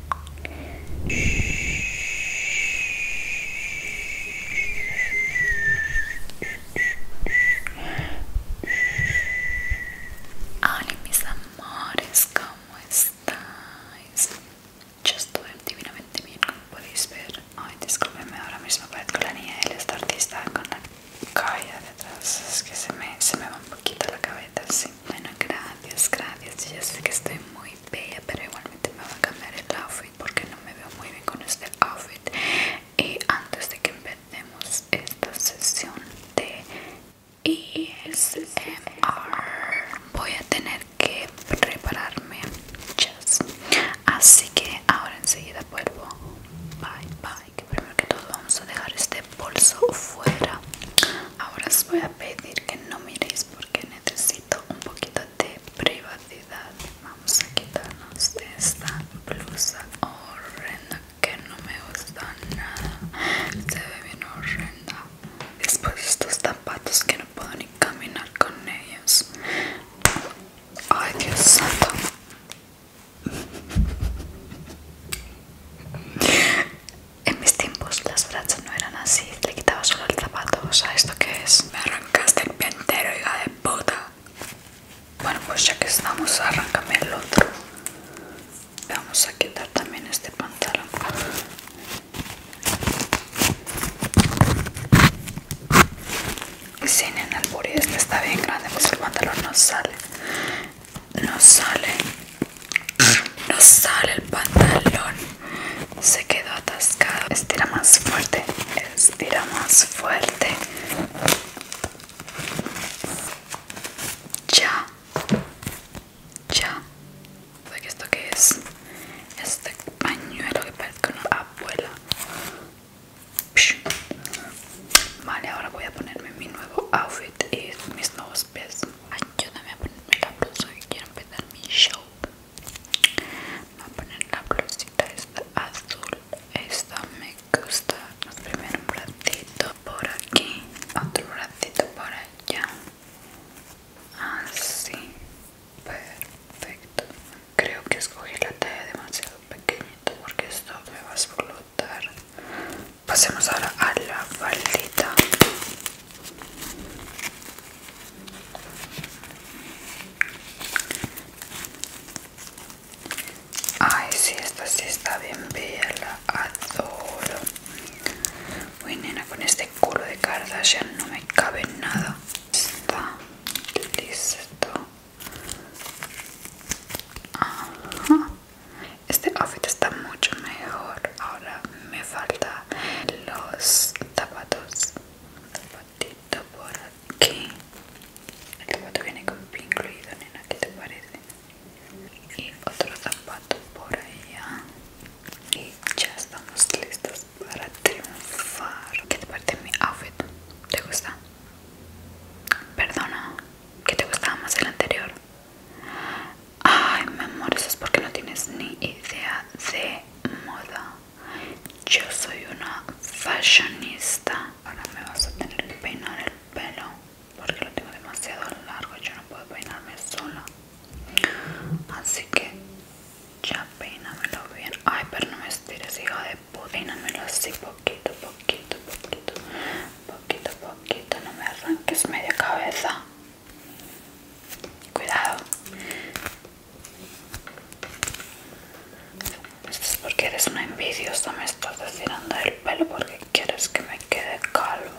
Hola mis amores, ¿cómo estáis? Yo estoy divinamente bien, como podéis ver. Ay, discúlpenme, ahora mismo parezco la niña el esta artista con la cabeza detrás. Es que se me, se me va un poquito la cabeza, sí. Bueno, gracias, gracias. Yo sé que estoy muy pero igualmente me va a cambiar el outfit porque no me veo muy bien con este outfit y antes de que empecemos esta sesión de ASMR e voy a tener que prepararme así que ahora enseguida vuelvo bye bye que primero que todo vamos a dejar este bolso fuera ahora os voy a pedir que no miréis que necesito un poquito de privacidad vamos a quitarnos esta blusa horrenda que no me gusta nada se ve bien horrenda después estos zapatos que no puedo ni caminar con ellos ay dios santo en mis tiempos las brachas no eran así, le quitaba solo el zapato, o sea, ¿esto qué es? Me arrancaste el pie entero, hija de puta. Bueno, pues ya que estamos, arráncame el otro. Vamos a quitar también este pantalón. Sin en el este está bien grande, pues el pantalón no sale. No sale. No sale el pantalón. Se quedó atascado. Estira más fuerte. Estira más fuerte. Ya. Ya. ¿Esto qué es? Este pañuelo que parece una abuela. Vale, ahora voy a ponerme mi nuevo outfit y mis nuevos pies. Ayúdame a ponerme la blusa que quiero empezar mi show. Voy a poner la blusita esta azul. Esta me gusta. primero un ratito por aquí, otro ratito por allá. Así. Perfecto. Creo que escogí la talla demasiado pequeñita porque esto me va a explotar pasemos ahora a la faldita ay sí esta sí está bien bella adoro uy nena con este culo de Kardashian no me cabe nada está listo Ajá. Este outfit está mucho mejor. Ahora me falta los zapatos. un Zapatito por aquí. El zapato viene con pin incluido, nena. que te parece? Y otro zapato por allá. Y ya estamos listos para triunfar. ¿Qué te parece mi outfit? ¿Te gusta? Perdona, ¿qué te gustaba más el anterior? Ay, mi amor, eso es porque no tienes ni idea de moda. Yo soy una fashionista. Ahora me vas a tener que peinar el pelo porque lo tengo demasiado largo y yo no puedo peinarme sola. Así que ya peínamelo bien. Ay, pero no me estires, hijo de puta. Peínamelo así poquito, poquito, poquito, poquito, poquito. No me arranques media cabeza. Cuidado. Esto es porque eres una envidiosa, me estás tirando el pelo porque quieres que me quede calmo.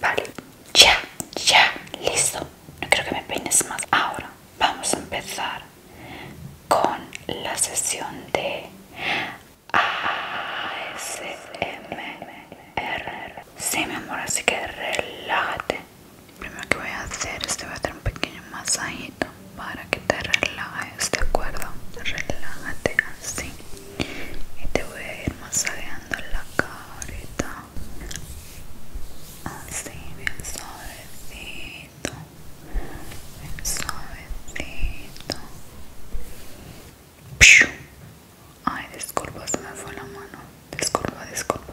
Vale, ya, ya, listo. No creo que me peines más. Ahora vamos a empezar con la sesión de ASMR. Sí, mi amor, así que relájate. primero que voy a hacer es te voy a hacer un pequeño masaje para que te relajes, ¿de acuerdo? Relájate así. Y te voy a ir masajeando la carita. Así, bien suavecito. Bien suavecito. Ay, disculpa, se me fue la mano. Disculpa, disculpa.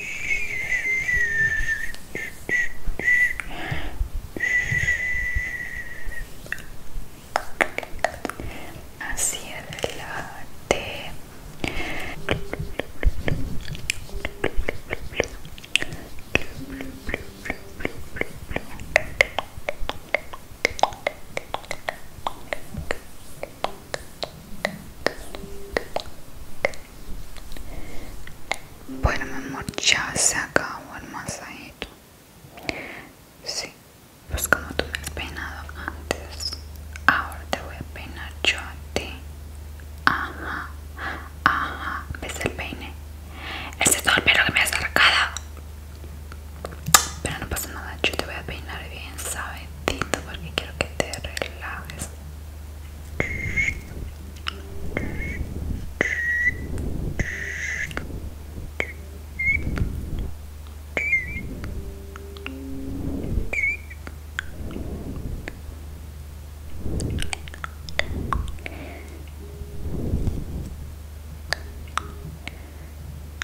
Así relájate. Así bueno, mi amor, ya se acabó el masaje. Sí, pues como tú me has peinado antes, ahora te voy a peinar yo a ti. Ajá, ajá, ¿ves el peine? Ese es el pelo que me has arrancado. Pero no pasa nada, yo te voy a peinar bien, ¿sabes? porque quiero que te relajes.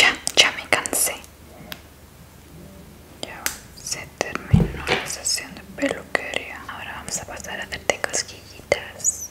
Ya, ya me cansé. Ya se terminó la sesión de peluquería. Ahora vamos a pasar a hacerte cosquillitas.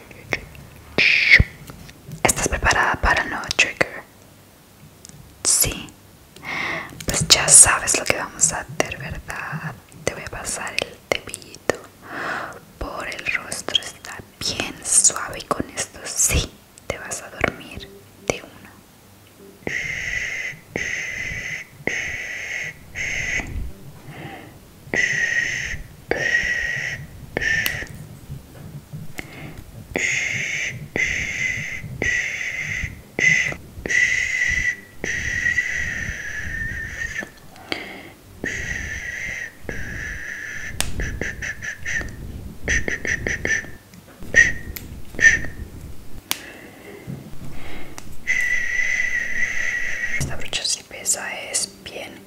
¿Estás preparada para el nuevo trigger? Sí. Pues ya sabes lo que vamos a hacer, ¿verdad? Te voy a pasar el cepillito por el rostro. Está bien suave y con esto sí te vas a dormir de una. Esta brocha si pesa es bien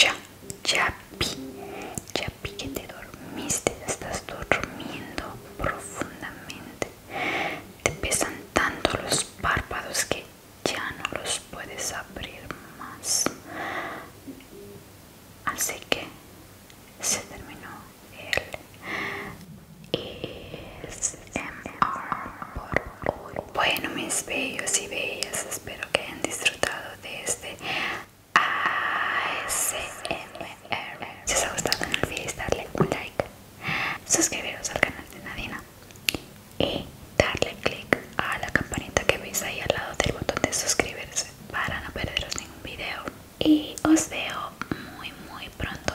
Ya, ya vi, ya que te dormiste, estás durmiendo profundamente. Te pesan tanto los párpados que ya no los puedes abrir más. Así que se terminó el ASMR por hoy. Bueno, mis bellos y bellas, espero que hayan disfrutado de este ASMR. Si os ha gustado, no olvidéis darle un like, suscribiros al canal de Nadina y darle click a la campanita que veis ahí al lado del botón de suscribirse para no perderos ningún video. Y os veo muy, muy pronto